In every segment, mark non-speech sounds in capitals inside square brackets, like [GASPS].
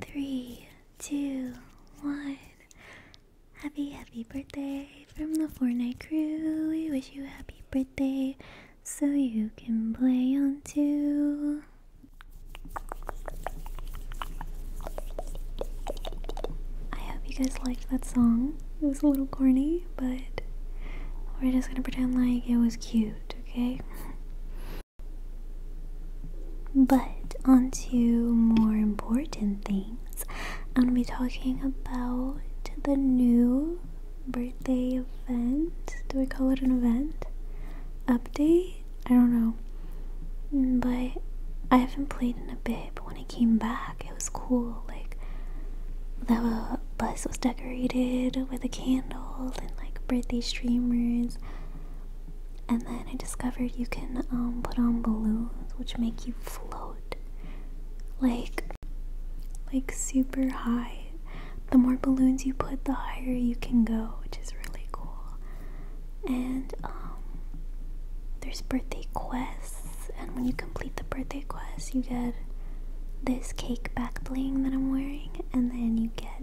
Three, two, one. Happy, happy birthday from the Fortnite crew. We wish you a happy birthday so you can play on too. I hope you guys liked that song. It was a little corny, but we're just gonna pretend like it was cute, okay? [LAUGHS] But onto more important things. I'm gonna be talking about the new birthday event. Do we call it an event? Update? I don't know. Mm, but I haven't played in a bit, but when I came back, it was cool. Like, the bus was decorated with the candles and like birthday streamers and then I discovered you can um, put on balloons which make you float like like super high. The more balloons you put, the higher you can go, which is really cool. And um, there's birthday quests, and when you complete the birthday quest, you get this cake back bling that I'm wearing, and then you get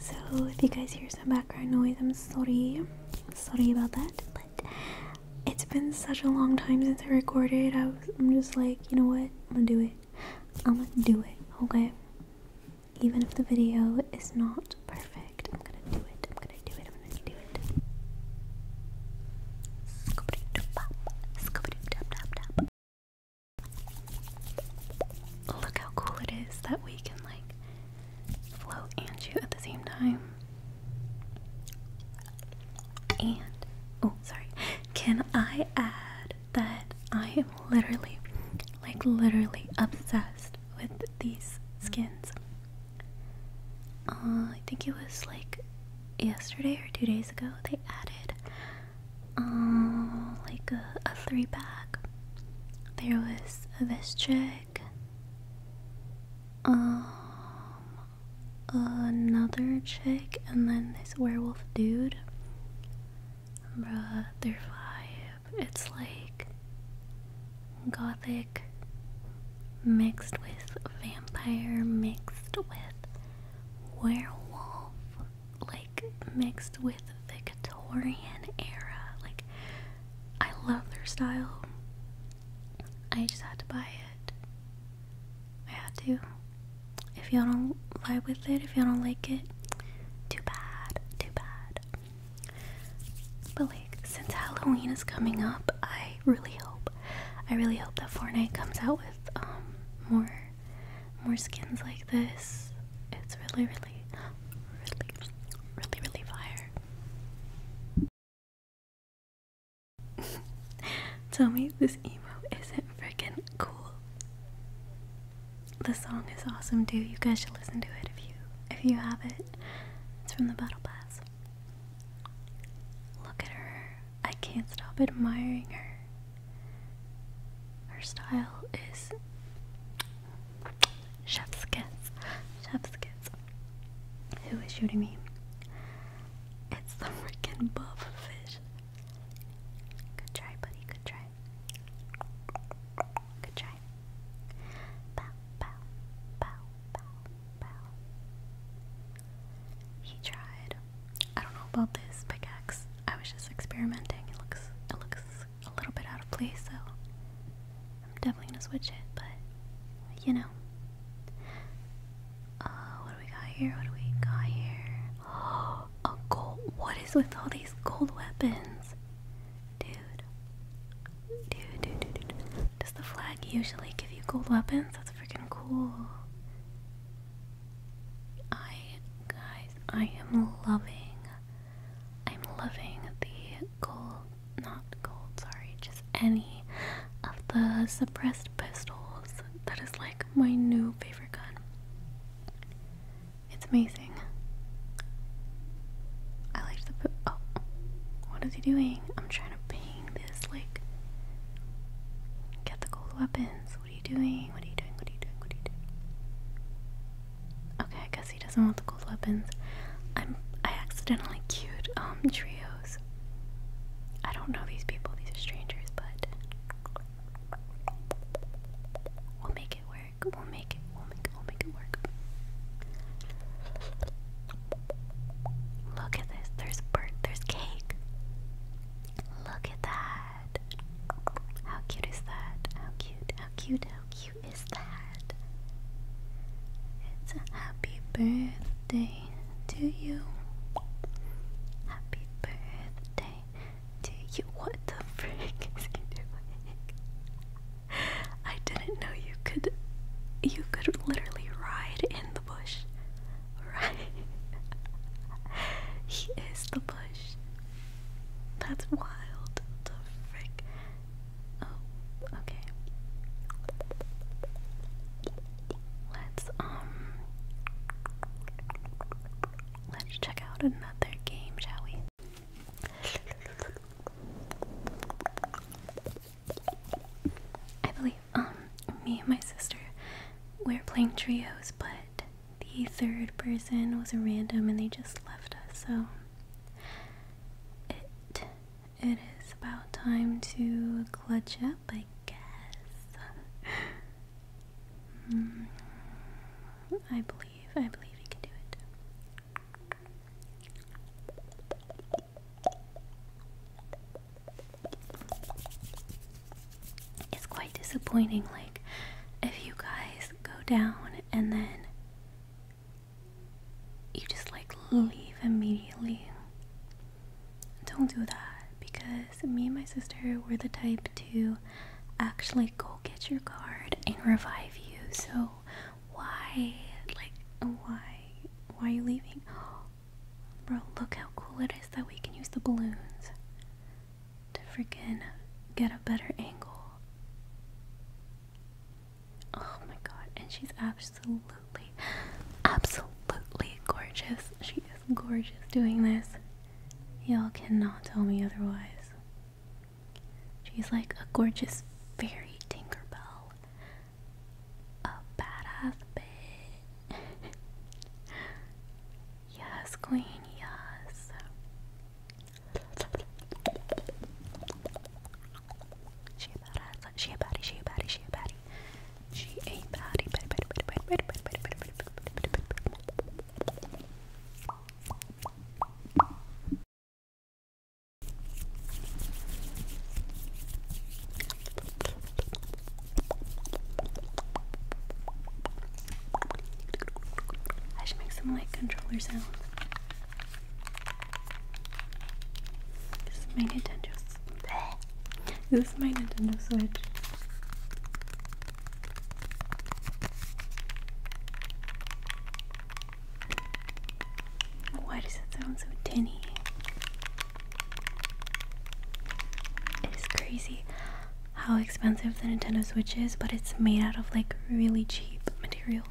so if you guys hear some background noise, I'm sorry. Sorry about that. But it's been such a long time since I recorded. I was, I'm just like, you know what? I'm gonna do it. I'm gonna do it. Okay. Even if the video is not perfect, I'm gonna do it. I'm gonna do it. I'm gonna do it. Scoop it up, scoop it up, Look how cool it is that we can like float and shoot at the same time. And oh, sorry. Can I add that I am literally like literally obsessed with these skins? Uh, I think it was like yesterday or two days ago they added uh, like a, a three pack. There was this chick, um, another chick, and then this werewolf dude. Bruh, their vibe. It's like gothic mixed with vampire, mixed with werewolf, like mixed with Victorian era. Like I love their style. I just had to buy it. I had to. If you don't vibe with it, if you don't like it, too bad, too bad. But like since Halloween is coming up, I really hope I really hope that Fortnite comes out with um, more more skins like this. It's really, really, really, really, really fire. [LAUGHS] Tell me this emote isn't freaking cool. The song is awesome dude. You guys should listen to it if you if you have it. It's from the Battle Pass. Look at her. I can't stop admiring her. Her style is Chef's kiss. Chef's kiss. Who is shooting me? It's the freaking fish. Good try, buddy. Good try. Good try. Bow, bow, bow, bow, bow. He tried. I don't know about this pickaxe. I was just experimenting. It looks, it looks a little bit out of place, so I'm definitely gonna switch it, but you know. Uh, what do we got here? What do we got here? [GASPS] a gold. What is with all these gold weapons? Dude, dude, dude, dude. Does the flag usually give you gold weapons? That's freaking cool. I, guys, I am loving I'm loving the gold, not gold, sorry, just any of the suppressed pistols. That is like my new favorite gun. It's amazing. I liked the. Oh, what is he doing? I'm trying to ping this, like, get the gold weapons. What are you doing? What are you doing? What are you doing? What are you doing? Okay, I guess he doesn't want the gold weapons. I'm I accidentally queued um trios. I don't know these people, these are strangers, but we'll make it work. We'll make it we'll make we'll make it work. Look at this. There's bird there's cake. Look at that. How cute is that? How cute, how cute, how cute is that? It's a happy birthday to you. Happy birthday to you. What the frick is he doing? I didn't know you could you could literally ride in the bush. Right. [LAUGHS] he is the bush. That's wild. The frick. Oh, okay. Let's um let's check out another game, shall we? I believe um me and my sister we're playing trios, but the third person was a random and they just left us. So it it is about time to clutch up, I guess. [LAUGHS] Hmm, I believe I believe you can do it. It's quite disappointing. Like, if you guys go down and then you just like leave immediately. Don't do that because me and my sister were the type to actually go get your card and revive you. So why like why why are you leaving? Bro, look how cool it is that we can use the balloons to freaking get a better angle. Oh my god, and she's absolutely, absolutely gorgeous. She is gorgeous doing this. Y'all cannot tell me otherwise. She's like a gorgeous fairy Tinkerbell. A badass bitch. [LAUGHS] yes, queen, yes. She a badass. She a baddie. She a baddie. She a baddie. She a baddie. Baddie, baddie, baddie, baddie, baddie, baddie, baddie, baddie, baddie, baddie. I should make some light controller sounds. This is my Nintendo. This is my Nintendo Switch. Why does it sound so tinny? It is crazy how expensive the Nintendo Switch is, but it's made out of like really cheap materials.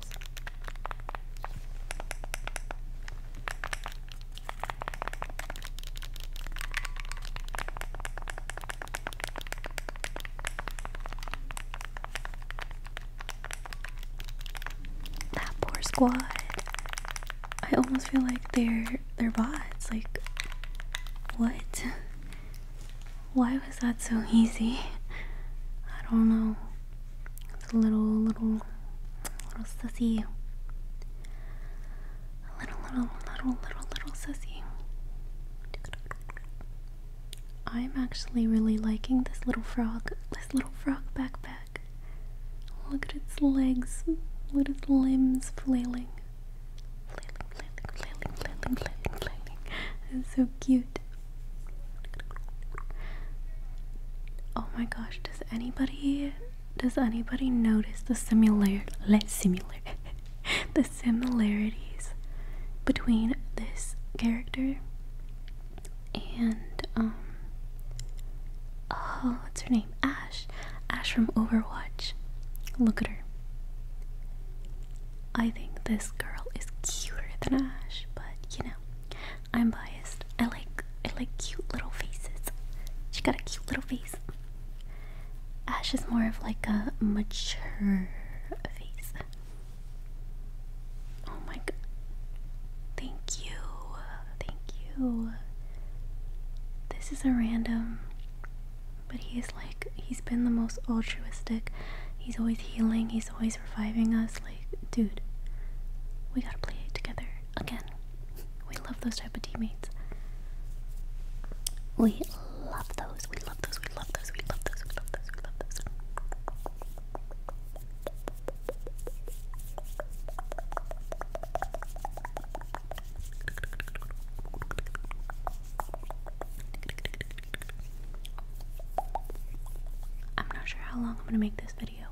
That poor squad. I almost feel like they're they're bots. Like what? [LAUGHS] Why was that so easy? I don't know. It's a little, little, little sussy. A little, little, little, little, little sussy. I'm actually really liking this little frog, this little frog backpack. Look at its legs, look at its limbs flailing. Flailing, flailing, flailing, flailing, flailing. It's so cute. Oh my gosh, does anybody does anybody notice the similar similar [LAUGHS] the similarities between this character and um oh what's her name? Ash. Ash from Overwatch. Look at her. I think this girl is cuter than Ash, but you know, I'm biased. I like I like cute little faces. She got a cute little face. Ash is more of like a mature face. Oh my god. Thank you. Thank you. This is a random but he is like, he's been the most altruistic. He's always healing, he's always reviving us. Like, dude, we gotta play it together again. We love those type of teammates. We love those, we love those, we love those, we love those, we love those, we love those. I'm not sure how long I'm gonna make this video.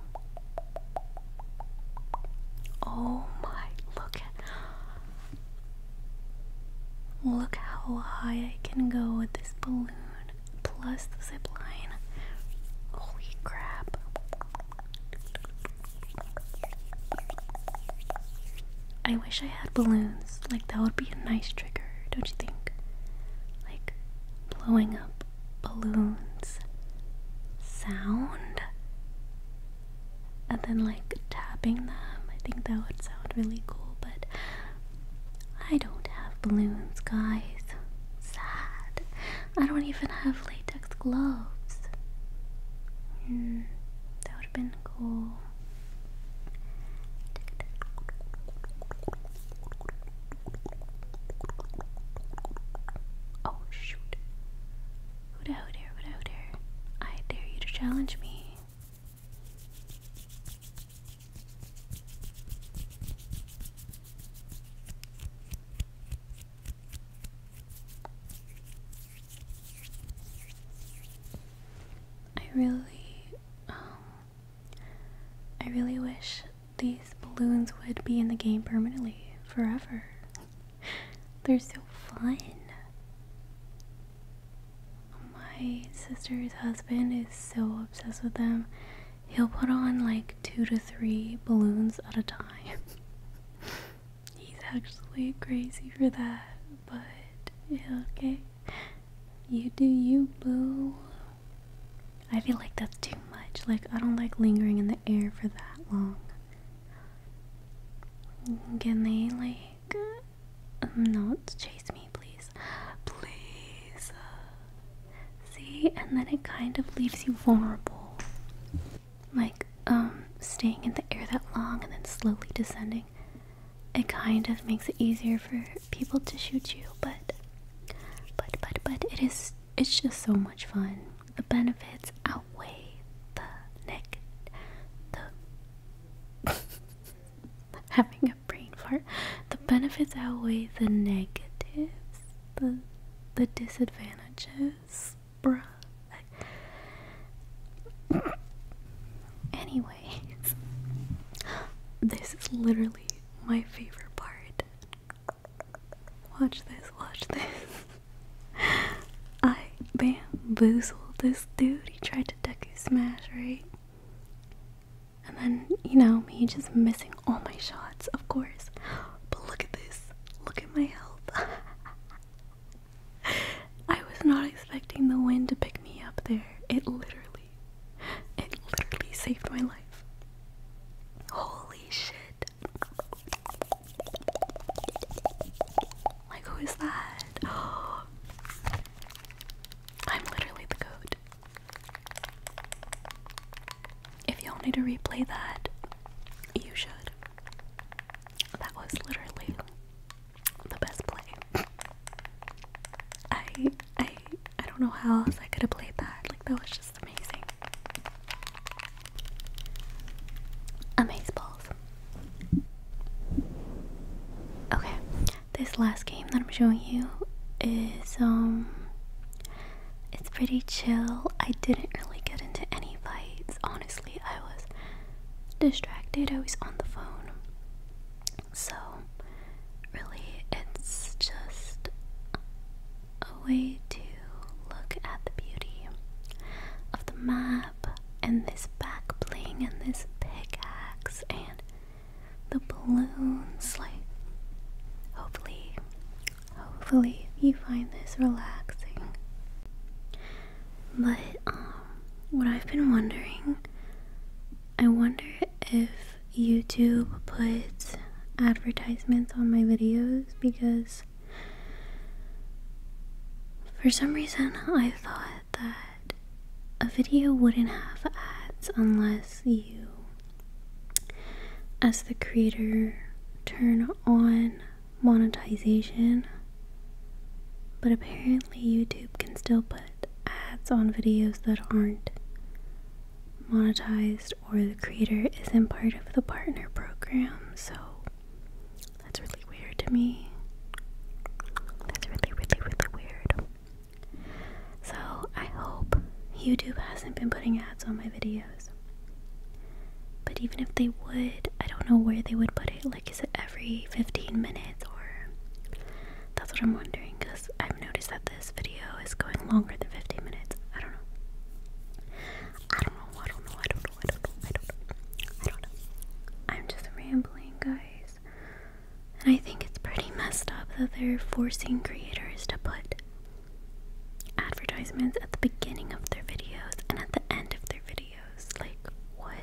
Oh my, look Look how high I can go with this balloon plus the zip Holy crap. I wish I had balloons. Like, that would be a nice trigger, don't you think? Like, blowing up balloons sound, and then like tapping them. I think that would sound really cool, but I don't have balloons, guys. Sad. I don't even have latex gloves. Mm, Oh shoot. Who dare, who dare, who dare, who dare? I dare you to challenge me. I really Oh. I really wish these balloons would be in the game permanently, forever. [LAUGHS] They're so fun. My sister's husband is so obsessed with them. He'll put on like two to three balloons at a time. [LAUGHS] He's actually crazy for that, but yeah, okay. You do you, boo. I feel like that's too much. Like, I don't like lingering in the air for that long. Can they, like, um, not chase me, please? Please. Uh, see, and then it kind of leaves you vulnerable. Like, um, staying in the air that long and then slowly descending, it kind of makes it easier for people to shoot you, but but but but it is it's just so much fun. The benefits outweigh the neck the [LAUGHS] having a brain fart. The benefits outweigh the negatives, the the disadvantages, bruh. Anyways, [GASPS] this is literally my favorite part. Watch this, watch this. [LAUGHS] I bamboozled this dude. He tried to duck Deku smash, right? And then, you know, me just missing all my shots, of course. But look at this. Look at my health. [LAUGHS] I was not expecting the wind to pick me up there. It literally it literally saved my life. Holy shit. Like, who is that? [GASPS] I'm literally the goat. If y'all need to replay that, you should. That was literally the best play. I I I don't know how else I could have played that. Like that was just amazing. Amazing balls. Okay, this last game that I'm showing you is um it's pretty chill. I didn't really get into any fights. Honestly, I was distracted. I was on the phone. So, really, it's just a way to look at the beauty of the map and this back and this pickaxe and the balloons. Like, hopefully, hopefully, you find this relaxing. But, um, what I've been wondering I wonder if YouTube puts advertisements on my videos because for some reason I thought that a video wouldn't have ads unless you, as the creator, turn on monetization. But apparently, YouTube can still put ads on videos that aren't monetized or the creator isn't part of the partner program, so that's really weird to me. That's really, really, really weird. So I hope YouTube hasn't been putting ads on my videos. But even if they would, I don't know where they would put it. Like, is it every 15 minutes or that's what I'm wondering because I've noticed that this video is going longer than 15 minutes. I don't know. I don't know. I don't know. I don't know. I don't know. I don't know. I am just rambling, guys. And I think it's pretty messed up that they're forcing creators to put advertisements at the beginning of their videos and at the end of their videos. Like, what?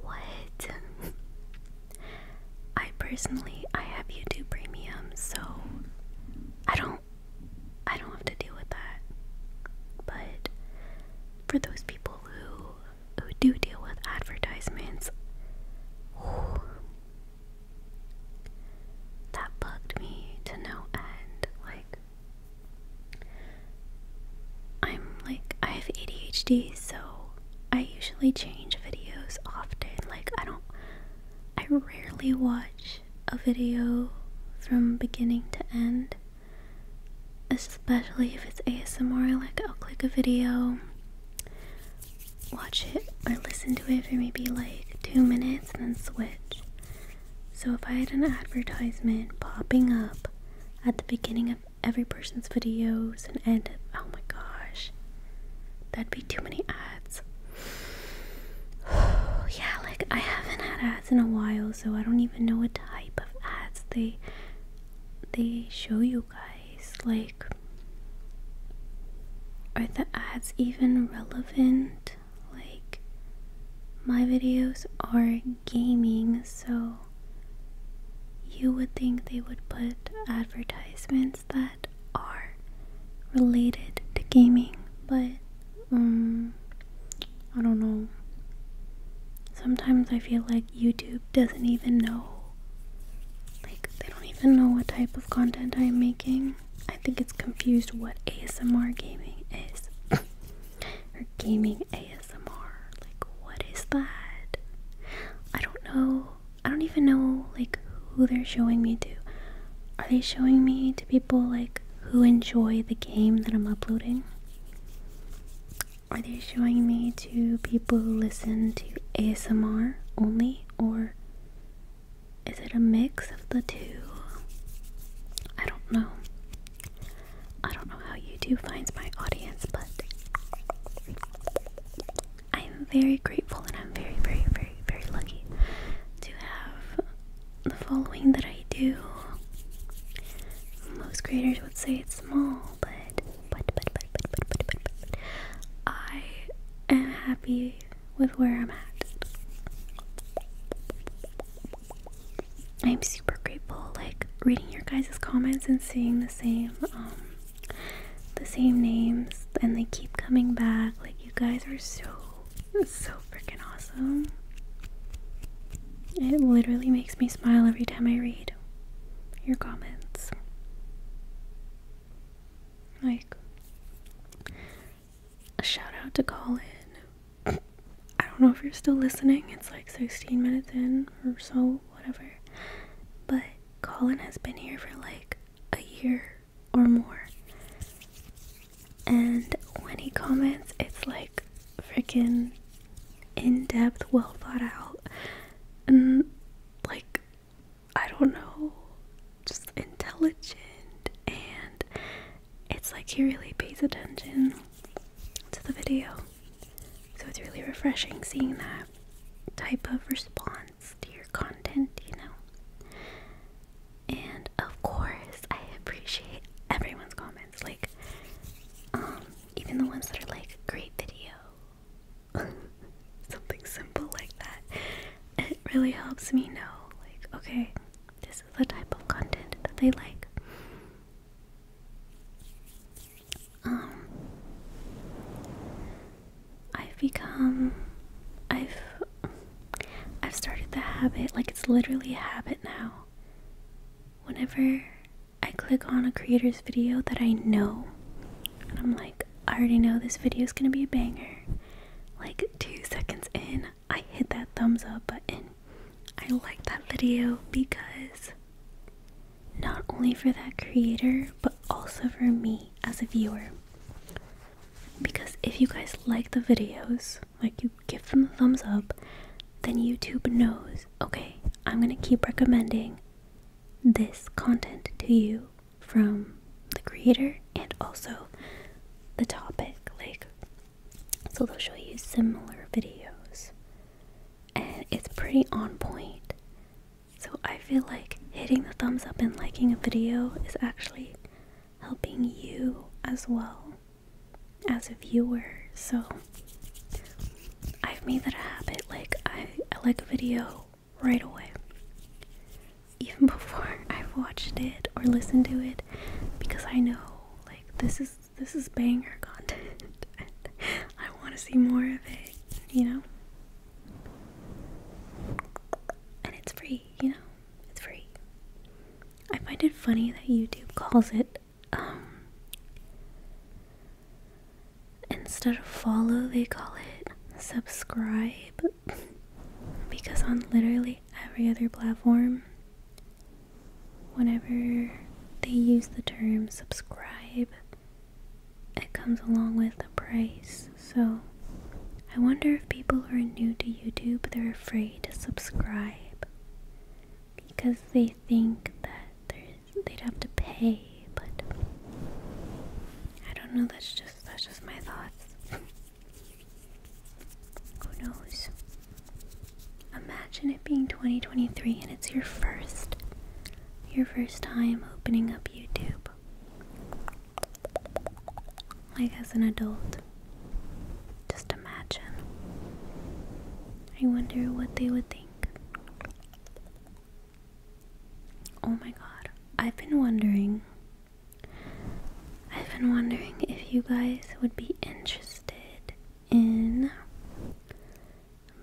What? [LAUGHS] I personally I have YouTube Premium, so I don't I don't have to deal with that. But for those people who who do deal with advertisements, that bugged me to no end. Like I'm like I have ADHD, so I usually change videos often. Like, I don't, I rarely watch a video from beginning to end, especially if it's ASMR. Like, I'll click a video, watch it, or listen to it for maybe like two minutes and then switch. So, if I had an advertisement popping up at the beginning of every person's videos and end up oh my gosh. That'd be too many ads. [SIGHS] yeah, like I haven't had ads in a while, so I don't even know what type of ads they they show you guys. Like are the ads even relevant? Like my videos are gaming, so you would think they would put advertisements that are related to gaming, but um, I don't know. Sometimes I feel like YouTube doesn't even know. Like, they don't even know what type of content I'm making. I think it's confused what ASMR gaming is. [COUGHS] or gaming ASMR. ASMR. Like, what is that? I don't know. I don't even know, like, who they're showing me to. Are they showing me to people, like, who enjoy the game that I'm uploading? Are they showing me to people who listen to ASMR only? Or is it a mix of the two? I don't know. I don't know know how YouTube finds my audience, but I'm very grateful and I'm very, very, very, very lucky to have the following that I do. Most creators would say it's small, but but but but but but but, but, but. I am happy with where I'm at. I'm super grateful, like reading your guys' comments and seeing the same um, the same names and they keep coming back. Like, you guys are so, so freaking awesome. It literally makes me smile every time I read your comments. Like, a shout out to Colin. I don't know if you're still listening, it's like 16 minutes in or so whatever. But Colin has been here for like a year or more. And when he comments, it's like freaking in depth, well thought out, and like, I don't know, just intelligent. And it's like he really pays attention to the video. So it's really refreshing seeing that type of response to your content, you know. And of course, I appreciate everyone's comments, like um, even the ones that are like great video. [LAUGHS] Something simple like that. It really helps me know like okay, this is the type of content that they like um, I've become, I've, I've started the habit, like it's literally a habit now. Whenever I click on a creator's video that I know, and I'm like, I already know this video is gonna be a banger. Like two seconds in, I hit that thumbs up button. I like that video because not only for that creator, but also for me as a viewer. Because if you guys like the videos, like you give them a thumbs up, then YouTube knows, okay, I'm gonna keep recommending this content to you from the creator and also the topic. Like, so they'll show you similar videos and it's pretty on point. So I feel like hitting the thumbs up and liking a video is actually helping you as well as a viewer. So I've made that a habit. Like I, like a video right away. Even [LAUGHS] before I've watched it or listened to it because I know like this is this is banger content. [LAUGHS] I want to see more of it, you know? And it's free, you know? It's free. I find it funny that YouTube calls it, um, instead of follow, they call it subscribe. because on literally every other platform, whenever they use the term subscribe, it comes along with a price. So I wonder if people who are new to YouTube they're afraid to subscribe because they think that they'd have to pay, but I don't know. That's just that's just my thoughts. [LAUGHS] Who knows? Imagine it being 2023 and it's your first your first time opening up YouTube. Like as an adult. Just imagine. I wonder what they would think. Oh my god. I've been wondering. I've been wondering if you guys would be interested in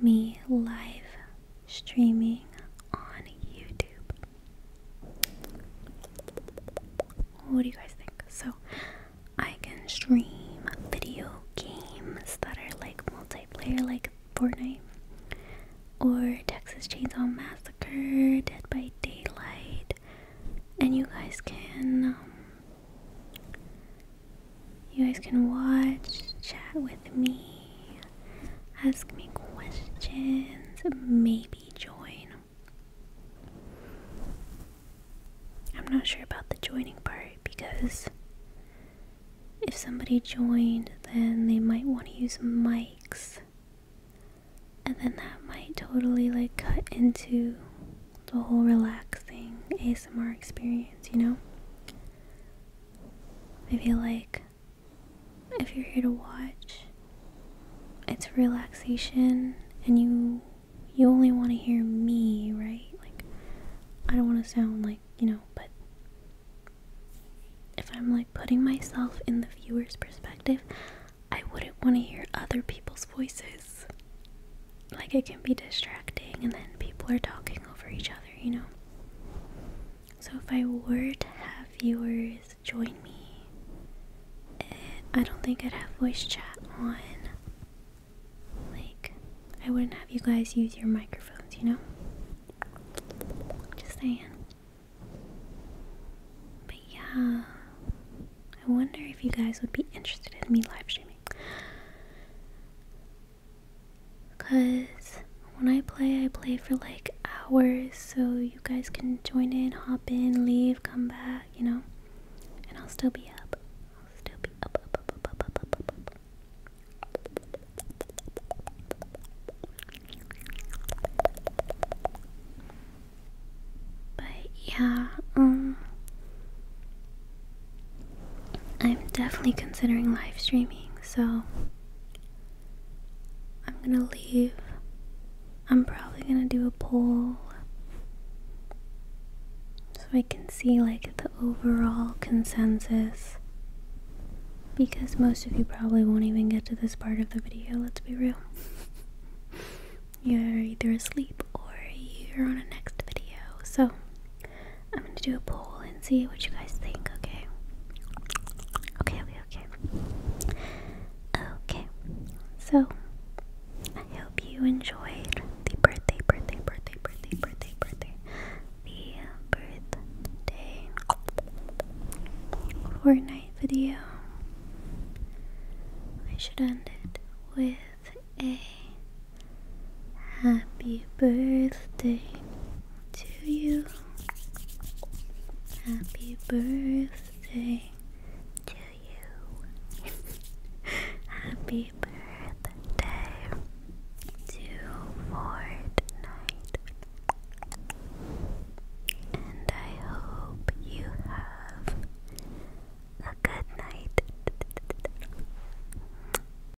me live streaming on YouTube. What do you guys think? So, I can stream video games that are like multiplayer, like Fortnite, or Texas Chainsaw Massacre, Dead by Daylight, and you guys can um, you guys can watch, chat with me, ask me questions, maybe join. I'm not sure about the joining part because if somebody joined, then they might want to use mics. And then that might totally like cut into the whole relaxing ASMR experience, you know? I feel like if you're here to watch, it's relaxation and you you only want to hear me, right? Like I don't want to sound like, you know, but if I'm like putting myself in the viewer's perspective, I wouldn't want to hear other people's voices. Like it can be distracting and then people are talking over each other you know? So if I were to have viewers join me, eh, I don't think I'd have voice chat on. Like, I wouldn't have you guys use your microphones, you know? Just saying. But yeah, I wonder if you guys would be interested in me live streaming. Because when I play, I play for like hours, so you guys can join in, hop in, leave, come back, you know? And I'll still be up. I'll still be up, But yeah, um, I'm definitely considering live streaming, so I'm gonna leave. I'm probably gonna do a poll so I can see like the overall consensus because most of you probably won't even get to this part of the video, let's be real. [LAUGHS] you're either asleep or you're on a next video, so I'm gonna do a poll and see what you guys think, okay? Okay, okay, okay. Okay, so I hope you enjoyed the birthday, birthday, birthday, birthday, birthday, birthday, the birthday Fortnite video. I should end it with a Happy birthday to you. Happy birthday to you. [LAUGHS] Happy birthday to Fortnite. And I hope you have a good night.